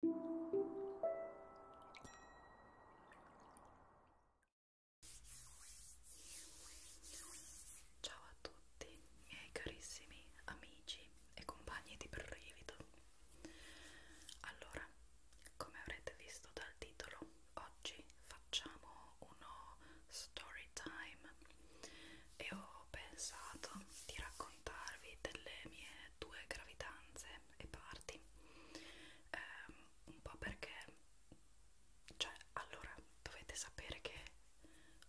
Ciao a tutti miei carissimi amici e compagni di brivido. Allora, come avrete visto dal titolo, oggi facciamo uno story time e ho pensato di raccontarvi delle mie due gravidanze e parti eh, un po' perché cioè allora dovete sapere che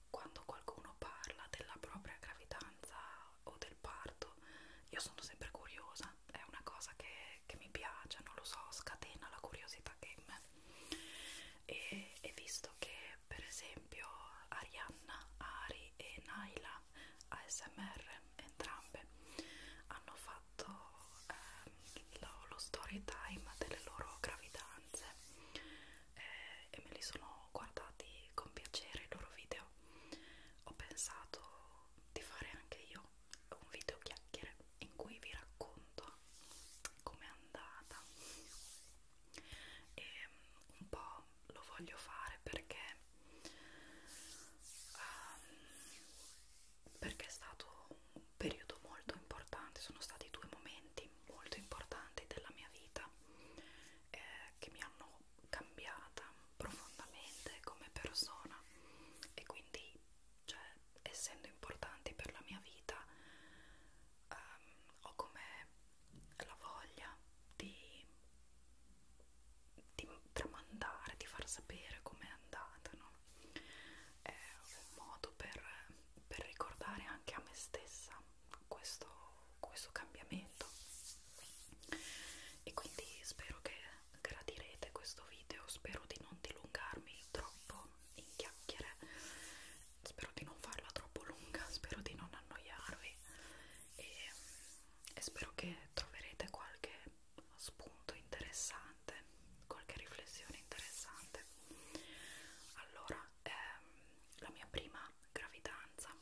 quando qualcuno parla della propria gravidanza o del parto io sono sempre curiosa è una cosa che, che mi piace non lo so scatena la curiosità che in me e, e visto che per esempio Arianna Ari e Naila ASMR entrambe hanno fatto eh, lo, lo story time delle loro gravidanze eh, e me li sono guardati con piacere i loro video ho pensato di fare anche io un video chiacchiere in cui vi racconto com'è andata e mm, un po' lo voglio fare perché um, perché è stato un periodo molto importante, sono stati due momenti molto importanti della mia vita eh, che mi hanno cambiata profondamente come persona e quindi cioè, essendo importanti per la mia vita um, ho come la voglia di di tramandare, di far sapere com'è andata, no? È un modo per, per ricordare anche a me stessa questo, questo cambiamento. E quindi spero che gradirete questo video, spero di non dilungarmi troppo in chiacchiere, spero di non farla troppo lunga, spero di non annoiarvi e e spero che troverete qualche spunto interessante, qualche riflessione interessante. Allora, ehm, la mia prima gravidanza.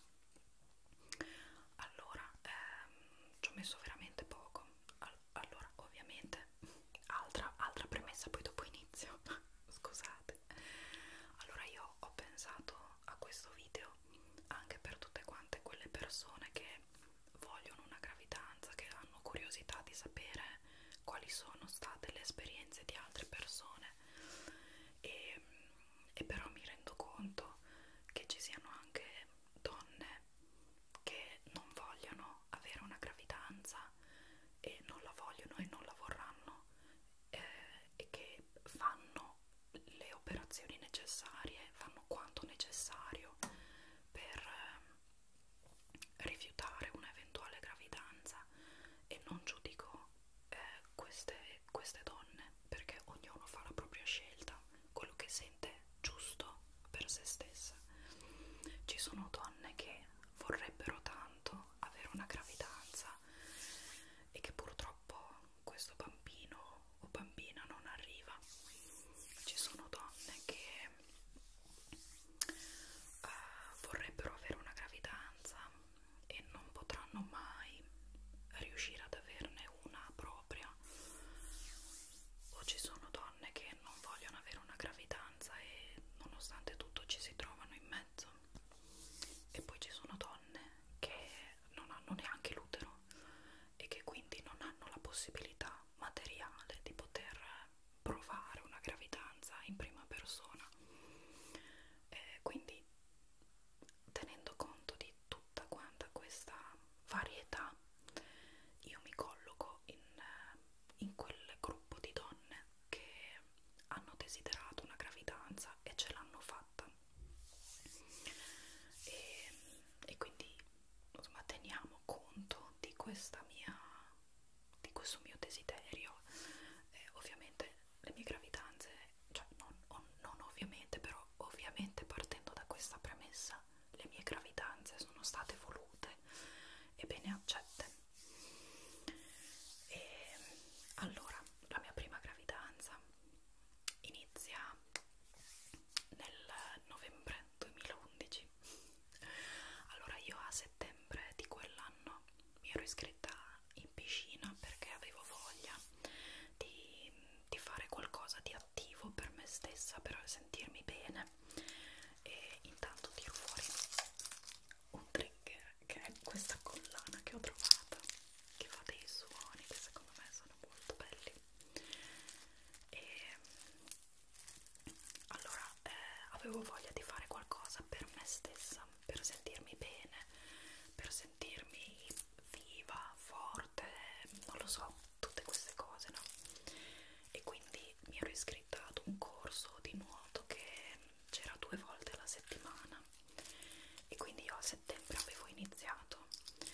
Allora, ehm, ci ho messo veramente poco. All allora, ovviamente, altra, altra premessa, poi dopo inizio. Scusate. Allora, io ho pensato a questo video anche per tutte quante quelle persone che vogliono una gravidanza, che hanno curiosità di sapere quali sono state le esperienze di altre persone e, e però mi rendo conto che ci siano anche donne che non vogliono avere una gravidanza e non la vogliono e non la vorranno eh, e che fanno le operazioni necessarie, fanno quanto necessario per eh, rifiutare un'eventuale gravidanza e non giudico eh, queste, queste donne perché ognuno fa la propria scelta, quello che sente giusto per se stessa. Ci sono donne che vorrebbero tanto avere una gravidanza e che purtroppo questo bambino o bambina non arriva ci sono donne che uh, vorrebbero avere una gravidanza e non potranno mai riuscire ad averne una propria o ci sono donne che non vogliono avere una gravidanza e nonostante tutto ci si trovano in mezzo e poi ci sono donne che non hanno neanche l'utero e che quindi non hanno la possibilità materiale di poter provare una gravidanza in prima persona. Eh, quindi tenendo conto di tutta quanta questa varietà, io mi colloco in, in quel gruppo di donne che hanno desiderato una gravidanza e ce l'hanno fatta e, e quindi insomma teniamo conto di questa mia di questo mio desiderio eh, ovviamente le mie gravidanze cioè non, on, non ovviamente però ovviamente partendo da questa premessa le mie gravidanze sono state volute e bene accette e allora la mia prima gravidanza inizia nel novembre 2011 allora io a settembre di quell'anno mi ero iscritta in piscina perché avevo voglia di, di fare qualcosa di attivo per me stessa per sentirmi bene e intanto tiro fuori un trigger che è questa collana che ho trovato che fa dei suoni che secondo me sono molto belli e mm, allora eh, avevo voglia di fare qualcosa per me stessa per sentirmi bene per sentirmi viva forte non lo so tutte queste cose no e quindi mi ero iscritta ad un corso di nuoto che c'era due volte alla settimana e quindi io a settembre avevo iniziato stato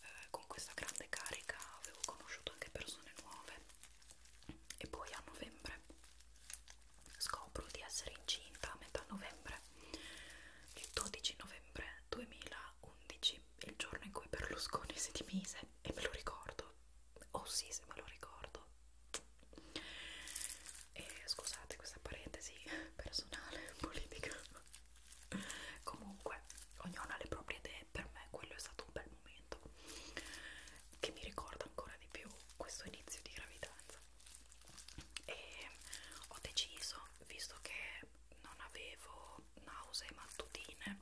eh, con questa grande carica avevo conosciuto anche persone nuove e poi a novembre scopro di essere incinta a metà novembre il 12 novembre 2011 il giorno in cui Berlusconi si dimise e me lo ricordo oh sì se me lo ricordo e scusate questa parentesi personale politica comunque ognuno ha le proprie idee per me quello è stato un bel momento che mi ricorda ancora di più questo inizio di gravidanza e ho deciso visto che non avevo nausea mattutine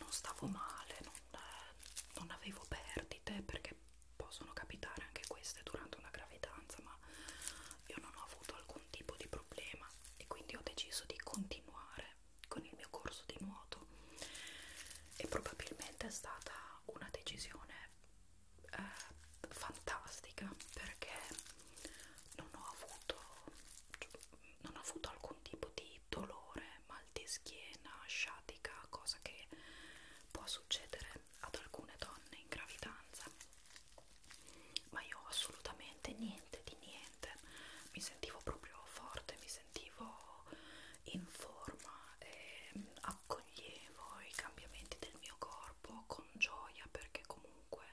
non stavo male non, non avevo perdite perché possono capitare anche queste durante una gravidanza ma io non ho avuto alcuna un tipo di problema e quindi ho deciso di continuare con il mio corso di nuoto e probabilmente è stata una decisione eh, fantastica perché non ho avuto non ho avuto alcun tipo di dolore, mal di schiena, sciatica, cosa che può succedere ad alcune donne in gravidanza ma io assolutamente niente di niente, mi sentivo proprio forte, mi sentivo in forma e accoglievo i cambiamenti del mio corpo con gioia perché comunque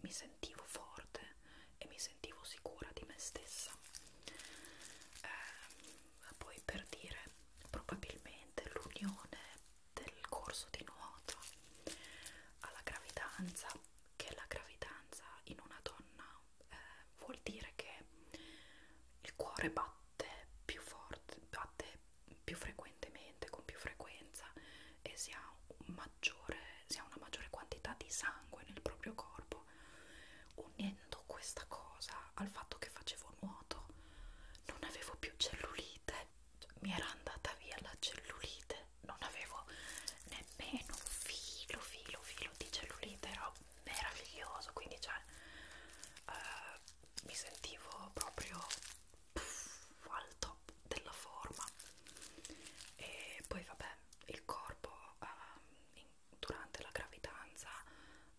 mi sentivo forte e mi sentivo sicura di me stessa. Eh, poi per dire, probabilmente l'unione del corso di nuoto alla gravidanza, che la gravidanza in una donna eh, vuol dire che il cuore batte più forte, batte più frequentemente, con più frequenza e si ha, un maggiore, si ha una maggiore quantità di sangue nel proprio corpo. Unendo questa cosa al fatto che facevo nuoto, non avevo più cellulite mi era andata via la cellulite, non avevo nemmeno filo, filo, filo di cellulite, era meraviglioso, quindi cioè uh, mi sentivo proprio puff, al top della forma e poi vabbè il corpo uh, in, durante la gravidanza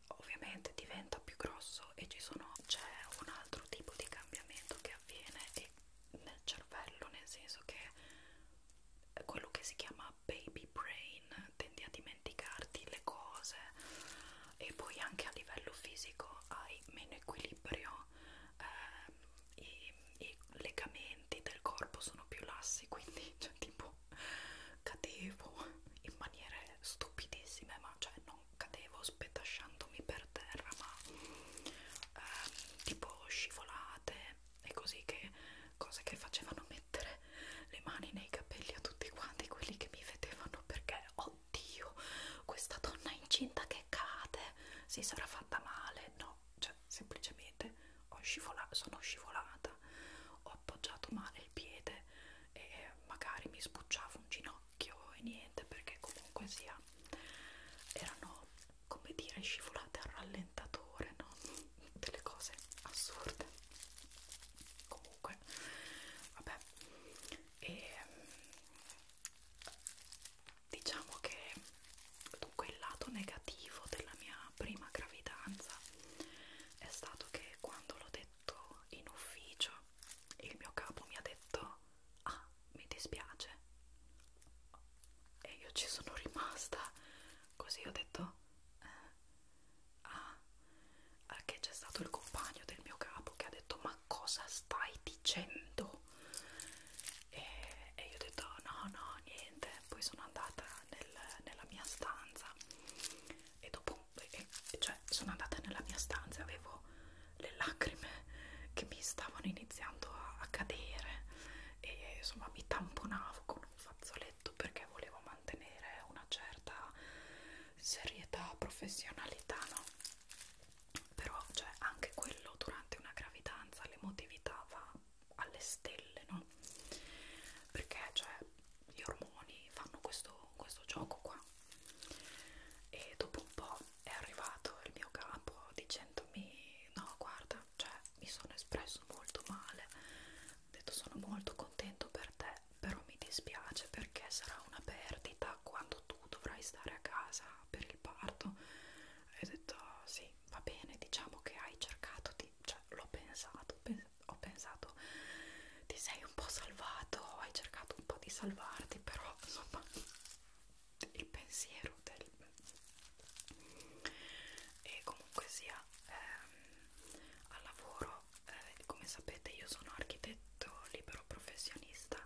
ovviamente diventa più grosso e ci sono c'è un altro tipo di cambiamento che avviene e nel cervello, nel senso che quello che si chiama baby brain tendi a dimenticarti le cose e poi anche a livello fisico hai meno equilibrio, eh, i, i legamenti del corpo sono più lassi, quindi cioè, tipo cadevo in maniere stupidissime, ma cioè non cadevo spetasciandomi per terra, ma eh, tipo scivolate e così che cose che facevano mettere le mani nei capelli a tutti quanti quelli che mi vedevano perché oddio questa donna incinta che cade si sarà fatta male no cioè semplicemente ho scivola sono scivolata ho appoggiato male il piede e magari mi sbucciavo un ginocchio occhio e niente perché comunque sia erano come dire scivolate al rallentatore no? delle cose assurde comunque vabbè e mm, diciamo che dunque il lato negativo della mia prima gravidanza è stato che quando l'ho detto in ufficio il mio capo mi ha detto ah mi dispiace e io ci sono rimasta così ho detto eh, ah, ah che c'è stato il compagno del mio capo che ha detto ma cosa stai dicendo e, e io ho detto no no niente poi sono andata nel, nella mia stanza e dopo e, cioè sono andata nella mia stanza avevo le lacrime che mi stavano iniziando a, a cadere e insomma mi tamponavo con un fazzoletto perché volevo mantenere una certa serietà, professionalità, no? Però cioè, anche quello durante una gravidanza l'emotività va alle stelle, no? Perché cioè, gli ormoni fanno questo, questo gioco qua e dopo un po' è arrivato il mio capo dicendomi no guarda cioè mi sono espresso molto male ho detto sono molto contento per te però mi dispiace perché sarà una perdita quando tu dovrai stare a casa per il parto e ho detto oh, sì va bene diciamo che hai cercato di cioè l'ho pensato pens ho pensato ti sei un po' salvato hai cercato un po' di salvarti però insomma il pensiero del e comunque sia ehm, al lavoro eh, come sapete io sono architetto libero professionista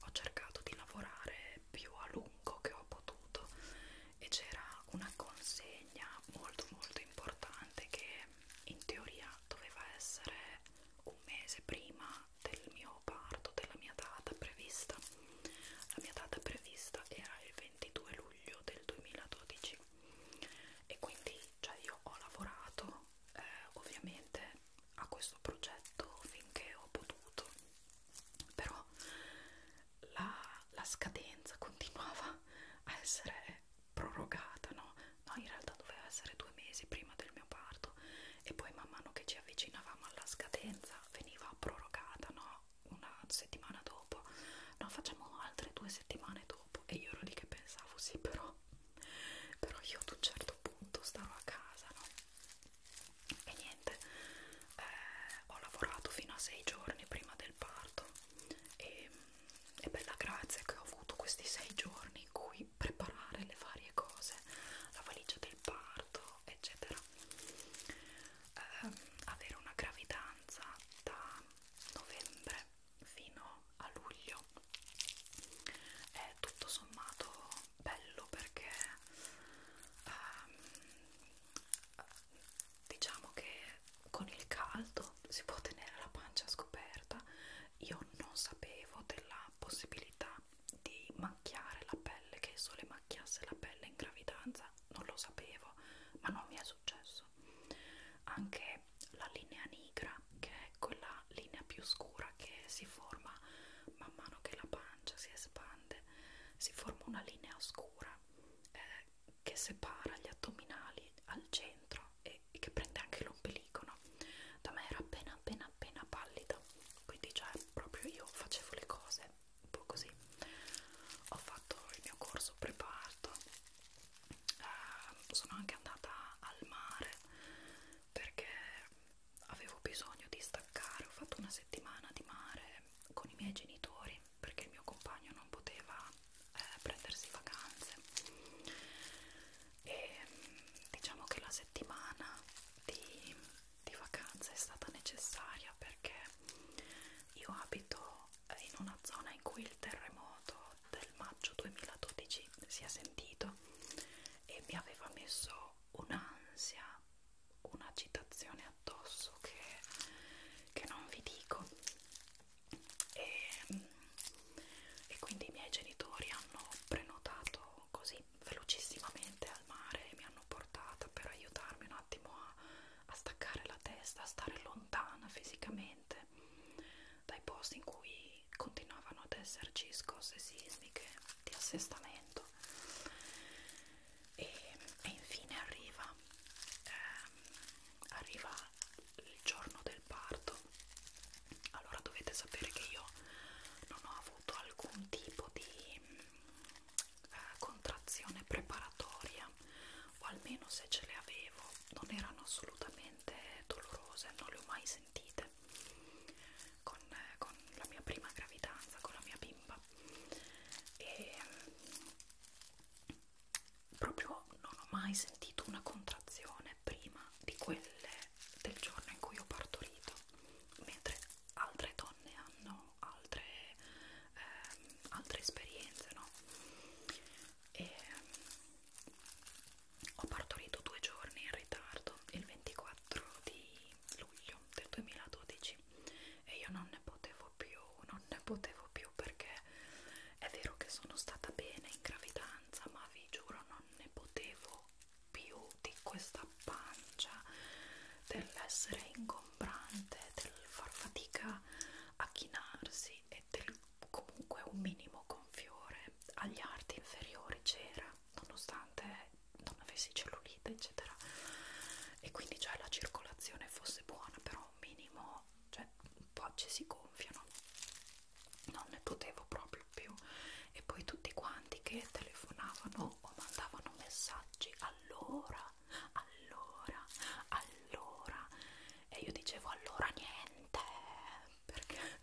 ho cercato di lavorare più a lungo che ho potuto e c'era una consegna molto molto importante che in teoria doveva essere un mese prima del mio parto della mia data prevista la mia data prevista era il 22 luglio del 2012 e quindi cioè io ho lavorato eh, ovviamente a questo progetto finché ho potuto però la, la scadenza continuava a essere prorogata no? no in realtà doveva essere due mesi prima del mio parto e poi man mano che ci avvicinavamo alla scadenza scadenza veniva prorogata no? una settimana dopo no facciamo altre due settimane dopo e io ero lì che pensavo sì però però io ad un certo punto stavo a casa no? e niente eh, ho lavorato fino a sei giorni prima del parto e, e per la grazia che ho avuto questi sei giorni in cui preparare le varie cose la valigia del parto e eccetera eh, avere una gravidanza da novembre fino a luglio è tutto sommato bello perché ehm, diciamo che con il caldo si può tenere la pancia scoperta io non sapevo della possibilità di macchiare la pelle, che il sole macchiasse la pelle in gravidanza, non lo sapevo, ma non mi è successo. Anche la linea nigra, che è quella linea più scura che si forma man mano che la pancia si espande, si forma una linea scura eh, che separa gli addominali al centro e, e che prende anche l'ombelico. No? Da me era appena appena appena appena pallida quindi cioè proprio io facevo le cose un po' così ho fatto il mio corso preparto eh, sono anche andata al mare perché avevo bisogno di staccare ho fatto una settimana di mare con i miei genitori perché il mio compagno non poteva eh, prendersi vacanze e diciamo che la settimana di di vacanza è stata necessaria perché io abito in una zona in cui il terremoto del maggio 2012 si è sentito e mi aveva messo un'ansia, un'agitazione addosso che, che non vi dico e, mm, e quindi i miei genitori hanno prenotato così velocissimamente al mare e mi hanno portata per aiutarmi un attimo a, a staccare la testa, a stare lontana fisicamente dai posti in cui continuavano ad esserci scosse sismiche di assestamento. E, e infine arriva, ehm, arriva il giorno del parto. Allora dovete sapere che io non ho avuto alcun tipo di eh, contrazione preparatoria o almeno se ce le avevo non erano assolutamente dolorose, non le ho mai sentite con, eh, con la mia prima gravidanza, con la mia bimba e mm, proprio non ho mai sentito una contrazione prima di quelle del giorno in cui ho partorito mentre altre donne hanno hanno altre, ehm, altre esperienze, no? E, mm, ho partorito due giorni in ritardo, il 24 di luglio del 2012 e io non ne potevo più, non ne potevo più perché è vero che sono stata bene in gravidanza ma vi giuro non ne potevo più di questa pancia, dell'essere ingombrante, del far fatica a chinarsi e del comunque un minimo gonfiore. Agli arti inferiori c'era, nonostante non avessi cellulite, eccetera. E quindi cioè la circolazione fosse buona, però un minimo, cioè un po' ci si gonfiano. Non ne potevo proprio più. E poi tutti quanti che telefonavano o mandavano messaggi allora, allora, allora e io dicevo allora niente perché,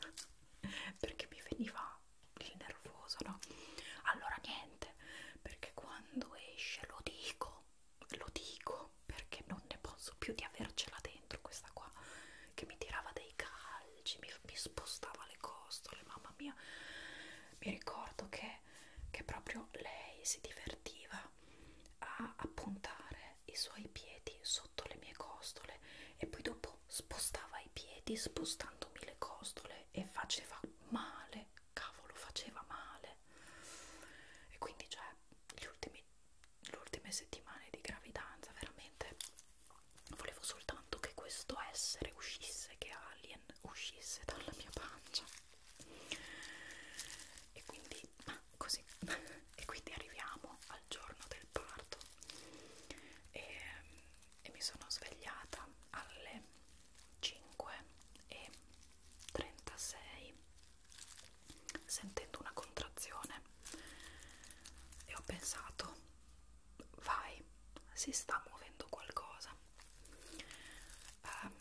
perché mi veniva il nervoso, no? Allora niente, perché quando esce lo dico, lo dico perché non ne posso più di avercela dentro questa qua che mi tirava dei calci, mi, mi spostava le costole, mamma mia mi ricordo che, che proprio lei si divertiva a appuntare i suoi piedi sotto le mie costole e poi dopo spostava i piedi spostandomi le costole e faceva male, cavolo faceva male e quindi cioè gli ultimi, le ultime settimane di gravidanza veramente volevo soltanto che questo essere uscisse che ha lì l'alien uscisse dalla mia pancia e quindi ma ah, così e quindi arriviamo al giorno del parto e, e mi sono svegliata alle 5 e 36 sentendo una contrazione e ho pensato vai, si sta muovendo qualcosa. Eh,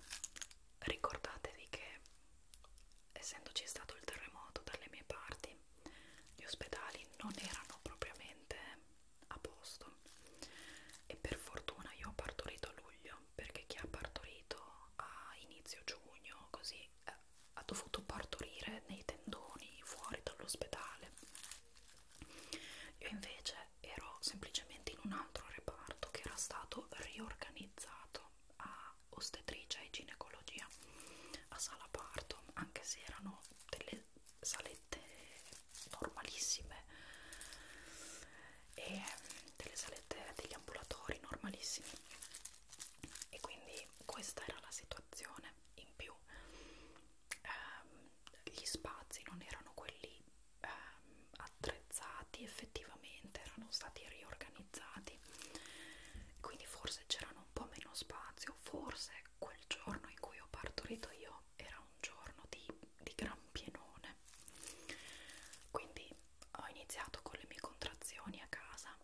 ricordatevi che essendoci stato il terremoto dalle mie parti, gli ospedali non erano propriamente a posto e per fortuna io ho partorito a luglio perché chi ha partorito a inizio giugno così eh, ha dovuto partorire nei tendoni fuori dall'ospedale io invece ero semplicemente in un altro reparto che era stato riorganizzato a ostetricia e ginecologia a sala parto, anche se erano delle salette normalissime e ehm, delle salette degli ambulatori normalissimi e quindi questa era la situazione in più ehm, gli spazi non erano quelli ehm, attrezzati effettivamente, erano stati riorganizzati, quindi forse c'erano un po' meno spazio, forse quel giorno in cui ho partorito io era un giorno di, di gran pienone, quindi ho iniziato con le mie contrazioni a casa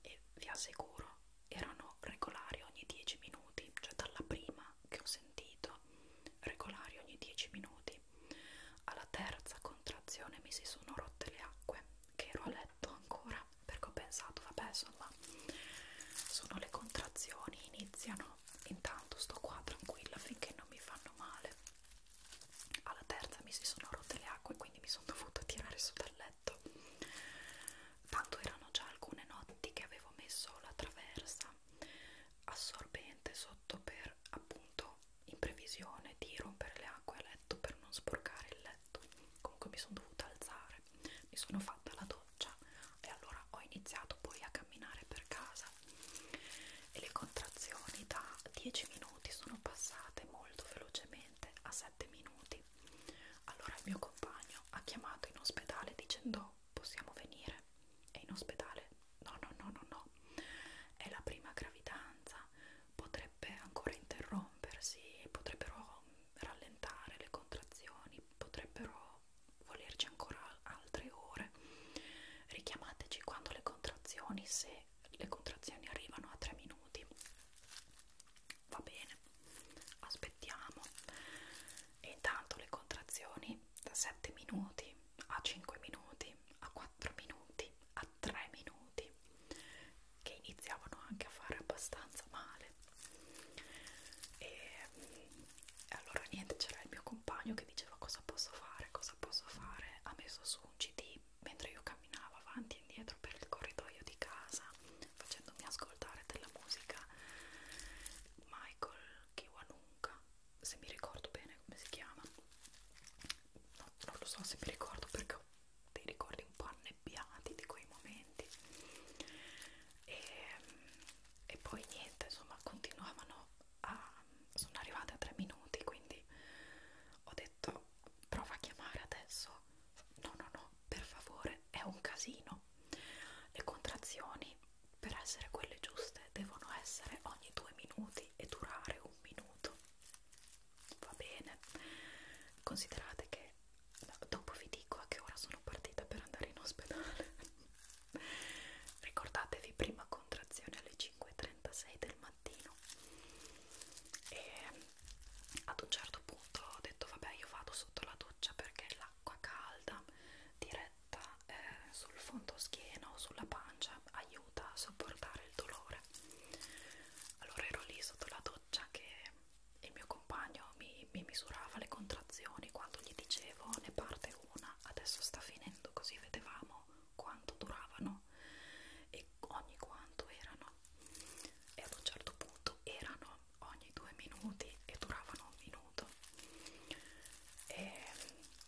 e vi assicuro erano regolari ogni 10 minuti, cioè dalla prima che ho sentito regolari ogni 10 minuti. Alla terza contrazione mi si sono rotte le acque, che ero a letto ancora perché ho pensato, vabbè, insomma, sono le contrazioni, iniziano, intanto sto qua tranquilla finché non mi fanno male. Alla terza mi si sono rotte le acque, quindi mi sono dovuta tirare su dal letto. Tanto erano già alcune notti che avevo messo la traversa assorbente sotto per appunto in previsione di rompere le acque a letto per non sporcare il letto comunque mi sono dovuta alzare mi sono fatta la doccia e allora ho iniziato poi a camminare per casa e le contrazioni da 10 minuti sono passate molto velocemente a 7 minuti allora il mio compagno ha chiamato in ospedale dicendo possiamo venire? È in ospedale? No, no, no, no, no. È la prima gravidanza, potrebbe ancora interrompersi, potrebbero rallentare le contrazioni, potrebbero volerci ancora altre ore. Richiamateci quando le contrazioni, se le contrazioni arrivano a 3 minuti. Va bene, aspettiamo e intanto le contrazioni da 7 minuti a 5 minuti a 4 minuti a 3 minuti che iniziavano anche a fare abbastanza male e mm, allora niente c'era il mio compagno che diceva cosa posso fare cosa posso fare ha messo su un cd mentre io camminavo avanti e indietro per il corridoio di casa facendomi ascoltare della musica Michael Kiwanuka se mi ricordo bene come si chiama no, non lo so se mi ricordo perché ho dei ricordi un po' annebbiati di quei momenti e, ehm, e poi niente insomma continuavano a sono arrivate a tre minuti quindi ho detto prova a chiamare adesso no no no per favore è un casino le contrazioni per essere quelle giuste devono essere ogni due minuti e durare un minuto va bene considerate che dopo vi dico a che ora sono partita per andare in ospedale ricordatevi prima contrazione alle 5.36 del mattino e ad un certo punto ho detto vabbè io vado sotto la doccia perché l'acqua calda di corsetta eh, sul fondoschiena o sulla pancia aiuta a sopportare il dolore. Allora ero lì sotto la doccia che il mio compagno mi, mi misurava le contrazioni quando gli dicevo ne parte una, adesso sta finendo, così vedevamo quanto duravano e ogni quanto erano. E ad un certo punto erano ogni due minuti e duravano un minuto minuto e,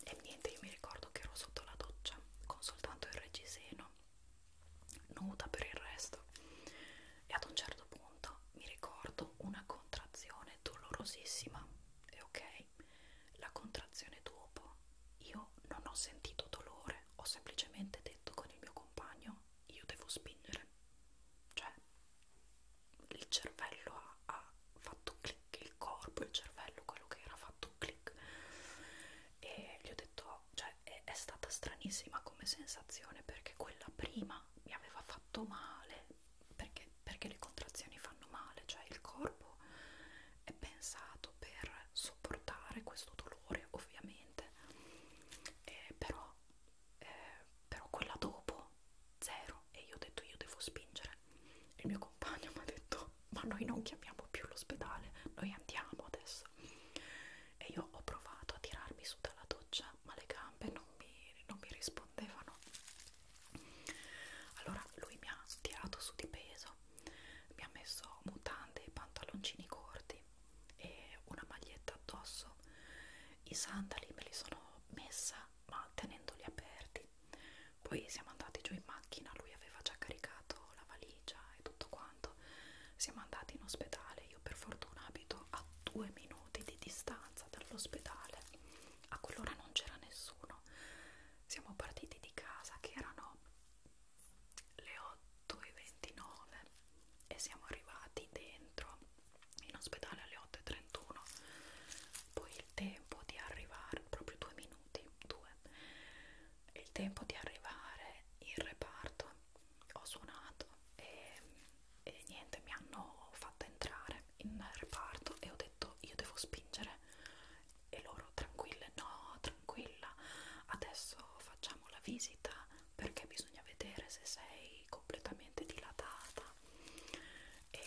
e niente io mi ricordo che ero sotto la doccia con soltanto il reggiseno nuda per il resto e ad un certo punto mi ricordo una contrazione dolorosissima e ok la contrazione dopo io non ho sentito dolore ho semplicemente detto con il mio compagno io devo spingere cioè il cervello ha, ha fatto click, il corpo, il cervello, quello che era fatto click e gli ho detto, cioè è, è stata stranissima come sensazione perché quella prima mi aveva fatto male perché, perché le contrazioni fanno male, cioè il corpo è pensato per sopportare questo dolore ovviamente eh, però, eh, però quella dopo zero e io ho detto io devo spingere il mio compagno mi ha detto ma noi non chiamiamo più l'ospedale noi andiamo adesso e io ho provato a tirarmi su dalla doccia ma le gambe non mi, non mi rispondevano allora lui mi ha tirato su di peso mi ha messo mutande e pantaloncini corti e una maglietta addosso i sandali me li sono messa ma tenendoli aperti avanti. Poi siamo andati giù in macchina, lui aveva già caricato la valigia e tutto quanto. Siamo andati in ospedale, io per fortuna abito a due minuti di distanza dall'ospedale. A quell'ora non c'era nessuno. Siamo partiti di casa che erano le 8.29 e siamo arrivati dentro in ospedale alle 8.31. Poi il tempo di arrivare, proprio due minuti, due, il tempo di arrivare in reparto, ho suonato e, e niente, mi hanno fatto entrare in reparto e ho detto io devo spingere e loro tranquille, no, tranquilla, adesso facciamo la visita perché bisogna vedere se sei completamente dilatata e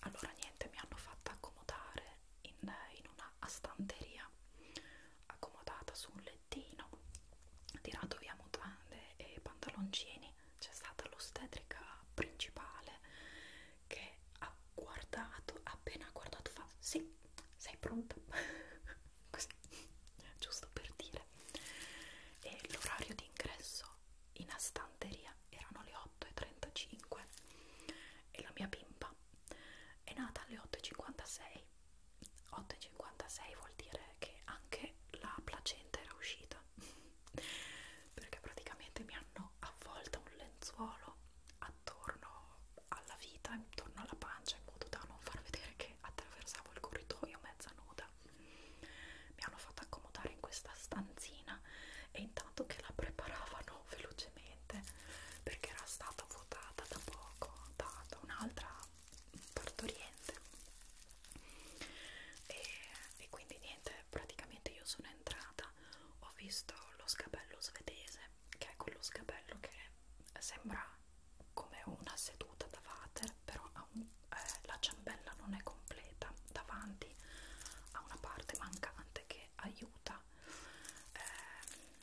allora niente mi hanno fatta accomodare in, in una stanteria accomodata su un lettino tirato via mutande e pantaloncini c'è stata l'ostetrica principale che ha guardato appena ha guardato fa sì sei pronta così giusto per dire e l'orario di ingresso in astanteria media erano le 8.35 e la mia bimba è nata alle 8.56 8.56 vuol dire che anche la placenta era uscita perché praticamente mi hanno avvolta un lenzuolo attorno alla vita, intorno alla pancia in modo da non far vedere che attraversavo il corridoio mezza nuda mi hanno fatto accomodare in questa stanzina e intanto che la preparavano velocemente perché era stata votata da poco da, da un'altra partoriente e, e quindi niente praticamente io sono entrata ho visto lo scabello svedese che è quello scabello che sembra come una seduta da water però ha un, eh, la ciambella non è completa davanti poi ha una parte mancante che aiuta ehm,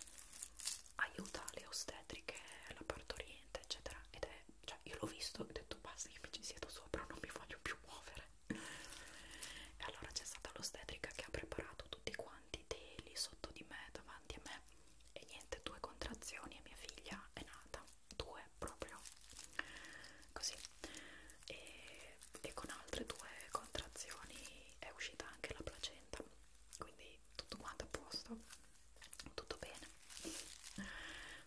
aiuta le ostetriche la partoriente eccetera ed è cioè io l'ho visto e ho detto basta io mi ci siedo sopra non mi voglio più muovere e allora c'è stata l'ostetrica che ha preparato tutti quanti teli sotto di me davanti a me e niente due contrazioni e mia figlia è nata due proprio così e, e con altre due contrazioni è uscita anche la placenta quindi tutto quanto a posto tutto bene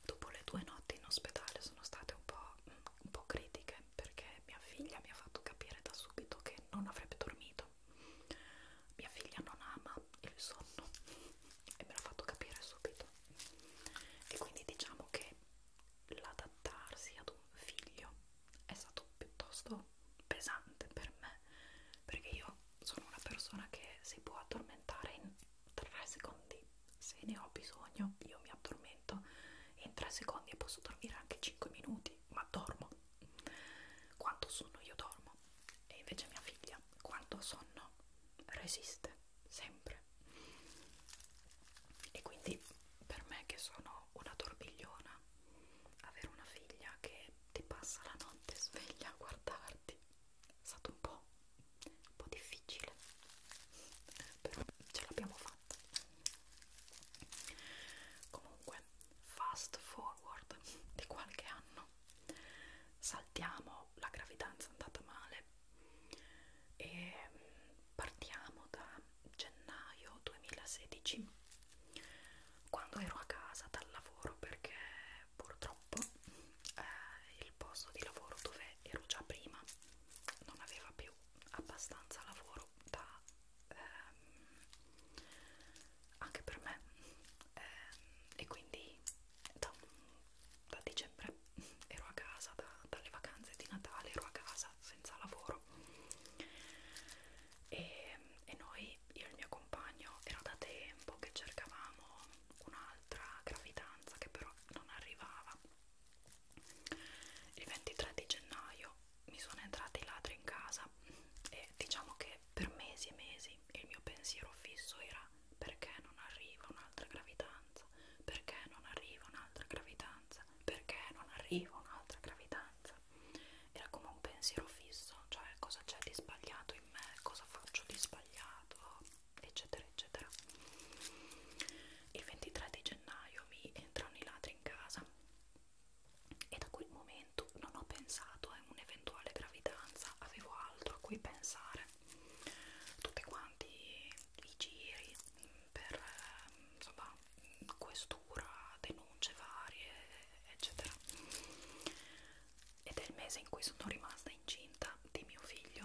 dopo le due notti in ospedale sono state un po', un po' critiche perché mia figlia mi ha fatto capire da subito che non avrebbe dormito mia figlia non ama il sonno e me l'ha fatto capire subito e quindi diciamo che l'adattarsi ad un figlio è stato piuttosto pesante per me perché io sono una persona che si può addormentare in 3 secondi se ne ho bisogno io mi addormento in 3 secondi e posso dormire anche 5 minuti ma dormo quanto sonno io dormo e invece mia figlia quando ha sonno resiste sempre e quindi per me che sono una torbigliona avere una figlia che ti passa la notte sveglia a guardarti è stato un po', un po difficile però ce l'abbiamo fatta comunque fast forward di qualche anno saltiamo la gravidanza andata male e mm, partiamo da gennaio 2016 quando ero a casa dal lavoro perché purtroppo eh, il posto di lavoro dove ero già prima non aveva più abbastanza lavoro da ehm, anche per me ehm, e quindi da, da dicembre cioè ero a casa da, dalle vacanze di Natale, ero a casa senza lavoro e, e noi, io e il mio compagno, era da tempo che cercavamo un'altra gravidanza che però non arrivava il 23 di gennaio mi sono entrati i ladri in casa e diciamo che per mesi e mesi il mio pensiero fisso era perché non arriva un'altra gravidanza perché non arriva un'altra gravidanza gravidanza perché non arriva un'altra gravidanza era come un pensiero fisso cioè cosa c'è di sbagliato in me cosa faccio di sbagliato eccetera eccetera il 23 di gennaio mi entrano i ladri in casa e da quel momento non ho pensato a un'eventuale gravidanza avevo altro a cui pensare tutti quanti i giri per eh, insomma, questura, denunce varie, eccetera. Ed è il mese in cui sono rimasta incinta di mio figlio,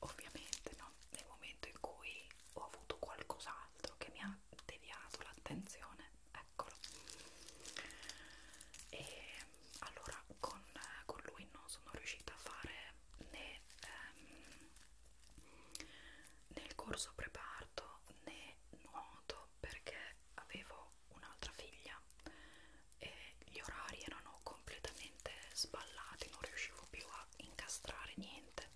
ovviamente, no? Nel momento in cui ho avuto qualcos'altro che mi ha deviato l'attenzione, eccolo. E allora con, con lui non sono riuscita a fare né ehm, nel corso preparto né nuoto perché avevo un'altra figlia e gli orari erano completamente sballati, non riuscivo più a incastrare niente.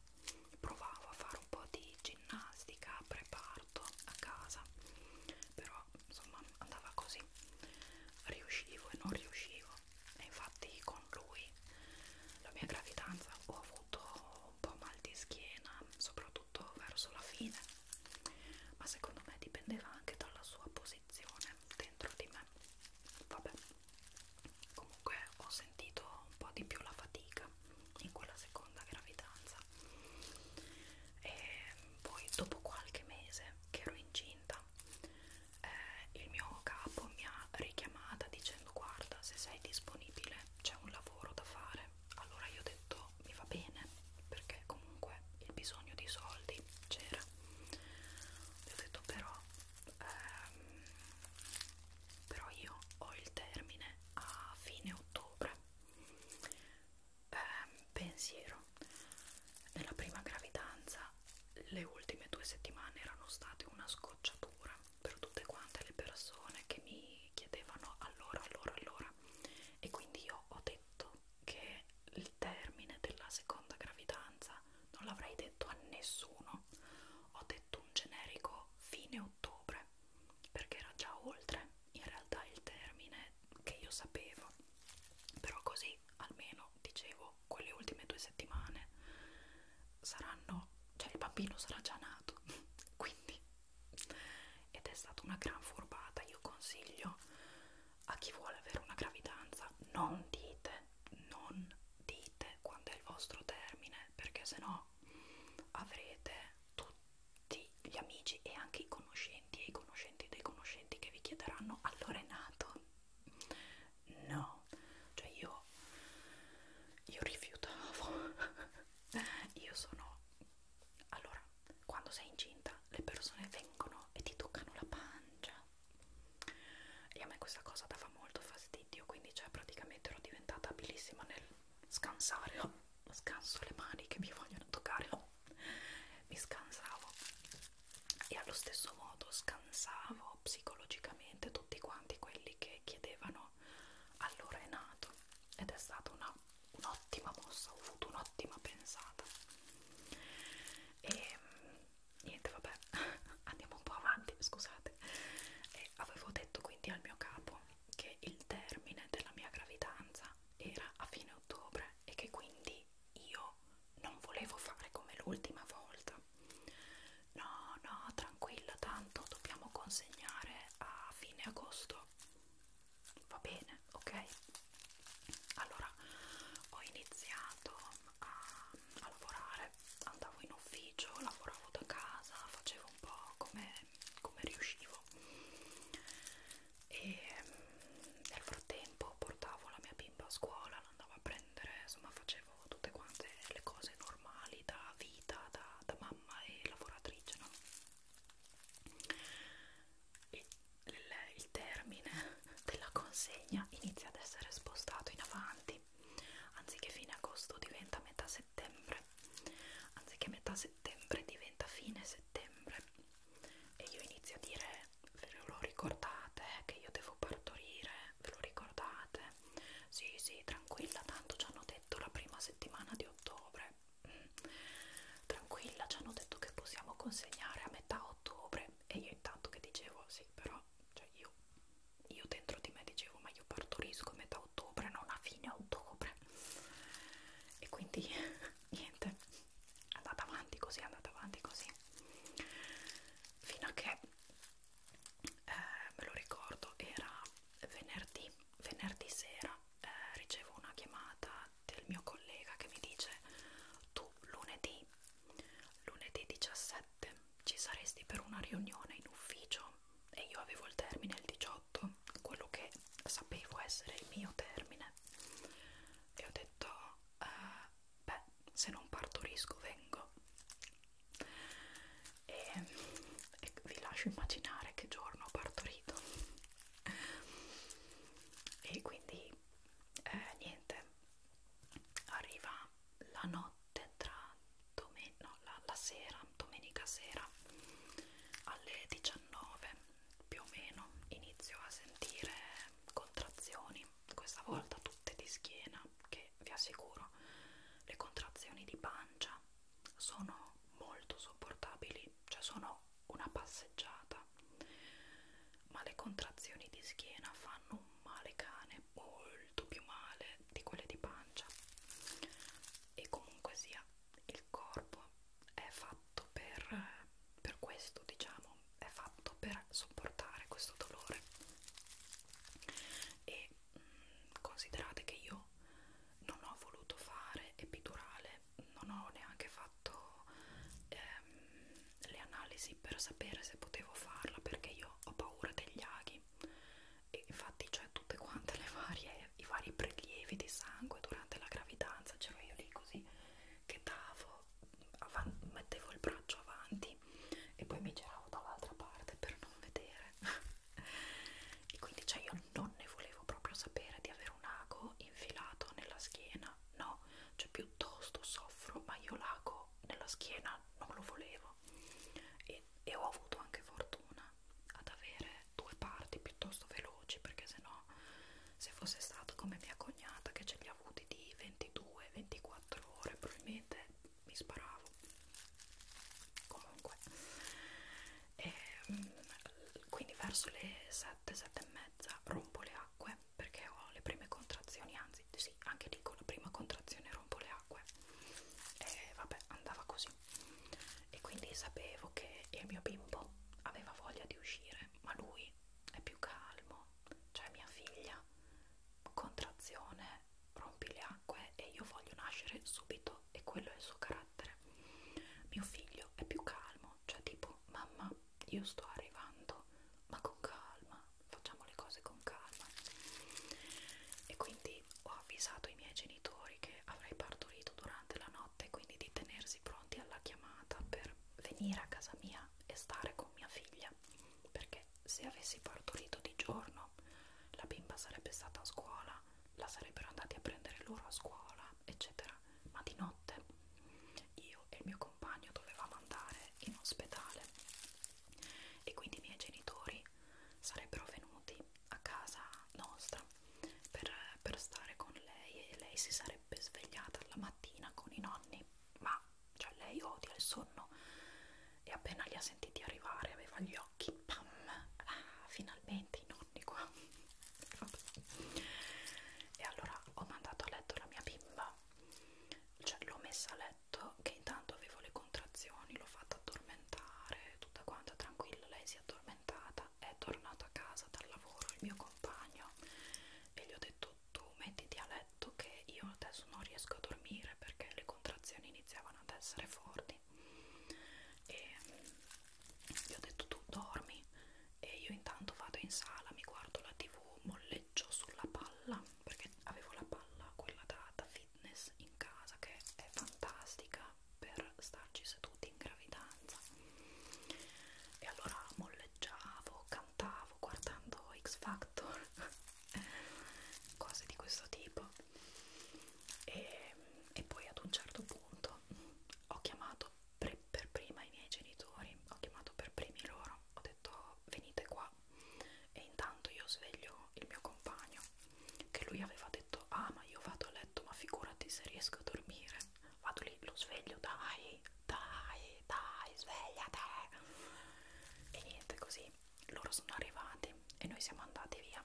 Provavo a fare un po' di ginnastica preparto a casa, però insomma andava così. Riuscivo e non riuscivo e infatti con lui la mia gravidanza ho avuto un po' mal di schiena soprattutto verso la fine ma secondo me dipendeva anche dalla sua posizione dentro di me vabbè comunque ho sentito un po' di più la fatica in quella seconda gravidanza e poi dopo qualche mese che ero incinta eh, il mio capo mi ha richiamata dicendo guarda se sei disponibile c'è un lavoro da fare allora io ho detto mi va bene perché comunque il bisogno di soldi c'era io ho detto però ehm, però io ho il termine a fine ottobre eh, pensiero nella prima gravidanza le ultime due settimane erano state una scocciatura per tutte quante le persone che mi chiedevano allora, allora, allora e quindi io ho detto che il termine della seconda gravidanza non l'avrei detto a nessuno ho detto un generico fine ottobre perché era già oltre in realtà il termine che io sapevo però così almeno dicevo tipo quelle ultime due settimane saranno, cioè il bambino sarà già nato, quindi ed è stata una gran furbata. Io consiglio a chi vuole avere una gravidanza, non dite, non dite quando è il vostro termine, perché sennò avrete tutti gli amici e anche i conoscenti e i conoscenti dei conoscenti che vi chiederanno allora è nato no cioè io io rifiutavo io sono allora quando sei incinta le persone vengono e ti toccano la pancia e a me questa cosa dava molto fastidio quindi cioè praticamente ero diventata abilissima nel scansare oh, scanso le mani che mi vogliono toccare oh. mi scansavo e allo stesso modo scansavo po' psicologicamente tutti quanti quelli che chiedevano allora è nato ed è stata un'ottima un mossa, ho avuto un'ottima pensata e niente vabbè andiamo un po' avanti scusate e avevo detto quindi al mio capo che il termine della mia gravidanza era a fine ottobre e che quindi io non volevo fare come l'ultima volta no no tranquilla tanto dobbiamo consegnare a fine agosto va bene ok allora ho iniziato a, a lavorare andavo in ufficio lavoravo da casa facevo un po' come, come riuscivo e nel frattempo portavo la mia bimba a scuola andavo a prendere, insomma facevo tutte quante le cose normali da vita, da, da mamma e lavoratrice, no? Il, il, il termine della consegna inizia ad essere spostato in avanti, anziché fine agosto diventa metà settembre, anziché metà settembre diventa fine settembre e io inizio a dire ve lo ricordate che io devo partorire ve lo ricordate? Sì, sì, tranquilla, tanto ci hanno detto la prima settimana di ottobre. Tranquilla, ci hanno detto che possiamo consegnare a metà ottobre e io intanto che dicevo sì, però cioè io, io dentro di me dicevo ma io partorisco a metà ottobre, non a fine ottobre. E quindi niente, andate avanti così, andate avanti così. Fino a che eh, me lo ricordo, era venerdì, venerdì sera eh, ricevo una chiamata del mio collega che mi dice tu lunedì, lunedì 17 ci saresti per una riunione in ufficio e io avevo il termine il 18, quello che sapevo essere il mio termine e ho detto eh, beh se non partorisco vengo e, e vi lascio immaginare che giorno ho partorito e quindi eh, niente arriva la notte tra domen no, la, la sera domenica sera alle 19 più o meno inizio a sentire contrazioni questa volta tutte di schiena che vi assicuro le contrazioni di pancia sono molto sopportabili, cioè sono una passeggiata, ma le contrazioni di schiena fanno un male cane molto più male di quelle di pancia e comunque sia il corpo è fatto per, per questo diciamo è fatto per sopportare questo dolore e considerate che io non ho voluto fare epidurale, non ho neanche fatto ehm, le analisi per sapere se potevo farla perché io ho paura degli aghi e infatti cioè tutte quante le varie i vari prelievi di sangue durante la gravidanza c'ero io lì così che davo mettevo il braccio avanti avanti e poi mi giravo dall'altra parte per non vedere e quindi cioè io non ne volevo proprio sapere di avere un ago infilato nella schiena no, cioè piuttosto soffro ma io l'ago nella schiena non lo volevo e, e ho avuto anche fortuna ad avere due parti piuttosto veloci perché se no se fosse stato come mia cognata che ce li ha avuti di 22-24 ore probabilmente mi sparavo comunque e, ehm, quindi verso le 7, 7 e mezza rompo le acque perché ho le prime contrazioni anzi sì, anche lì con la prima contrazione rompo le acque e vabbè andava così e quindi sapevo che il mio bimbo aveva voglia di uscire ma lui è più calmo cioè mia figlia contrazione rompi le acque e io voglio nascere subito e quello è il suo carattere. Mio figlio è più calmo, cioè tipo mamma io sto arrivando ma con calma, facciamo le cose con calma. E quindi ho avvisato i miei genitori che avrei partorito durante la notte, quindi di tenersi pronti alla chiamata per venire a casa mia e stare con mia figlia perché perché se avessi partorito di giorno la bimba sarebbe stata a scuola, la sarebbero andati a prendere loro a scuola, eccetera. Ma di notte io e il mio compagno dovevamo andare in ospedale e quindi i miei genitori sarebbero venuti a casa nostra per, per stare con lei e lei si sarebbe svegliata la mattina con i nonni, ma cioè lei odia il sonno e appena li ha sentiti arrivare aveva gli occhi pam ah, finalmente i nonni qua e allora ho mandato a letto la mia bimba cioè l'ho messa a letto che intanto avevo le contrazioni l'ho fatta addormentare tutta quanta tranquilla lei si è addormentata è tornato a casa dal lavoro il mio compagno e gli ho detto tu mettiti a letto che io adesso non riesco a dormire perché le contrazioni iniziavano continuano ad essere forti e gli ho detto tu dormi e io intanto vado in sala, mi guardo la tv, molleggio sulla palla perché avevo la palla, quella da, da fitness in casa che è fantastica per starci seduti in gravidanza e allora molleggiavo, cantavo guardando X Factor cose di questo tipo e, e poi ad un certo punto ho chiamato pre, per prima i miei genitori, ho chiamato per primi loro, ho detto venite qua e intanto io sveglio il mio compagno che lui aveva detto ah ma io vado a letto ma figurati se riesco a dormire vado lì lo sveglio dai dai dai svegliate e niente così loro sono arrivati e noi siamo andati via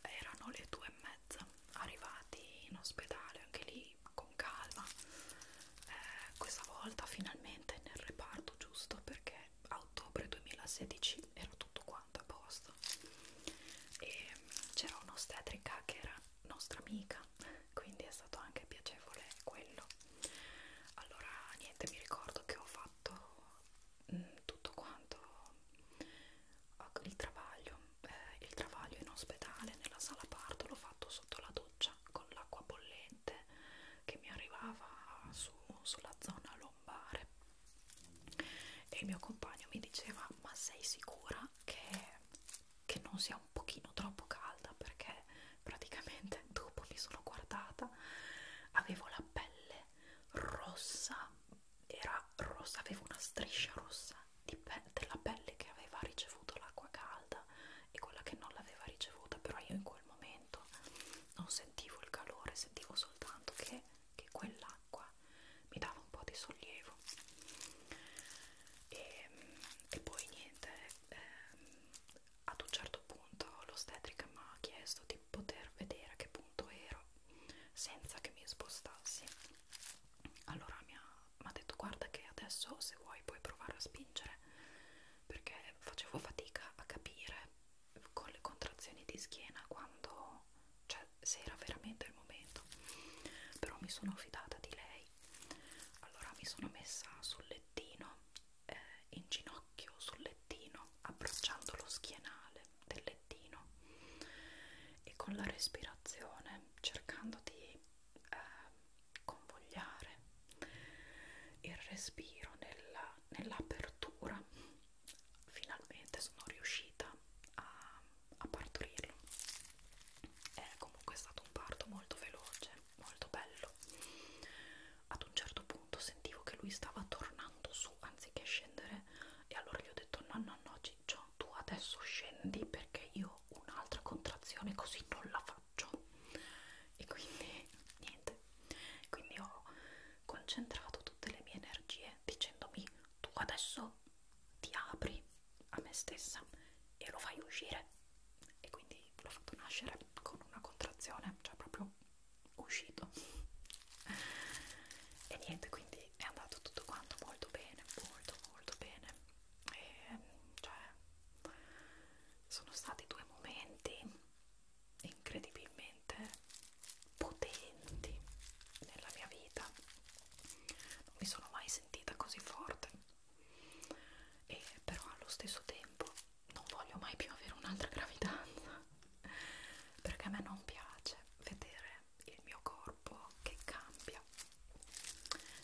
erano le due e mezza arrivati in ospedale anche lì con calma eh, questa volta finalmente nel reparto giusto perché a ottobre 2016 era tutto quanto a posto e c'era un'ostetrica che era nostra amica quindi è stato anche piacevole quello allora niente mi ricordo che ho fatto fatto mh, mm, tutto quanto ah, il travaglio eh, il travaglio in ospedale nella sala parto l'ho fatto sotto la doccia con l'acqua bollente che mi arrivava su, sulla zona lombare e il mio compagno mi diceva ma sei sicura che, che non sia un pochino troppo calda perché praticamente dopo mi sono guardata avevo la pelle pelle rossa, era rossa, aveva una striscia rossa di pe della pelle che aveva ricevuto l'acqua calda e quella che non l'aveva ricevuta, però io in quel momento non sentivo il calore, sentivo soltanto che, che quell'acqua mi dava un po' di sollievo. E, ehm, e poi niente, ehm, ad un certo punto l'ostetrica mi ha chiesto di poter vedere a che punto ero senza che mi spostassi allora mi ha detto guarda che adesso se vuoi puoi provare a spingere perché facevo fatica a capire con le contrazioni di schiena quando cioè se era veramente il momento però mi sono fidata di lei allora mi sono messa sul lettino eh, in ginocchio sul lettino, abbracciando lo schienale del lettino e con la respirazione cercando di eh, convogliare il respiro nell'apertura. Nell Finalmente sono riuscita a, a partorirlo. È comunque stato un parto molto veloce, molto bello ad un certo punto sentivo che lui stava tornando su anziché scendere e allora gli ho detto no no no Ciccio tu adesso scendi perché io un'altra contrazione così non la faccio e quindi niente quindi ho concentrato tutte le mie energie dicendomi tu adesso ti apri a me stessa e lo fai uscire e quindi l'ho fatto nascere con una contrazione cioè proprio uscito e niente quindi è andato tutto quanto molto bene molto molto bene e cioè sono stati due momenti incredibilmente potenti nella mia vita non mi sono mai sentita così forte e però allo stesso tempo non voglio mai più avere un'altra gravidanza perché a me non piace vedere il mio corpo che cambia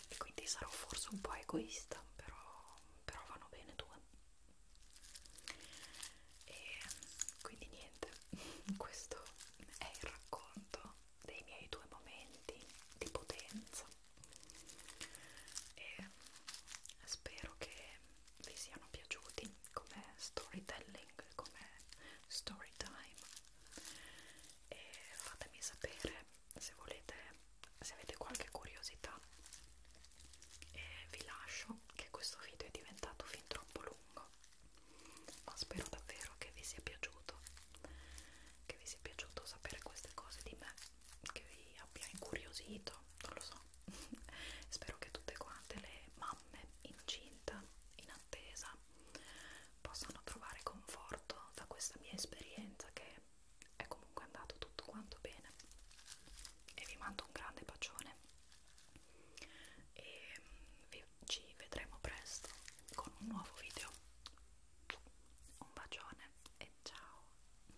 e quindi sarò forse un po' egoista però, però vanno bene due e quindi niente questo è il racconto dei miei due momenti di potenza e spero che vi siano piaciuti come storytelling, come story time e fatemi sapere se volete, se avete qualche curiosità e vi lascio che questo video è diventato fin troppo lungo ma spero davvero che vi sia piaciuto che vi sia piaciuto sapere queste cose di me che vi abbia incuriosito non lo so spero che tutte quante le mamme incinta in attesa possano trovare conforto da questa mia esperienza che è comunque andato tutto quanto bene e vi mando un grande bacione e mm, vi, ci vedremo presto con un nuovo video un bacione e ciao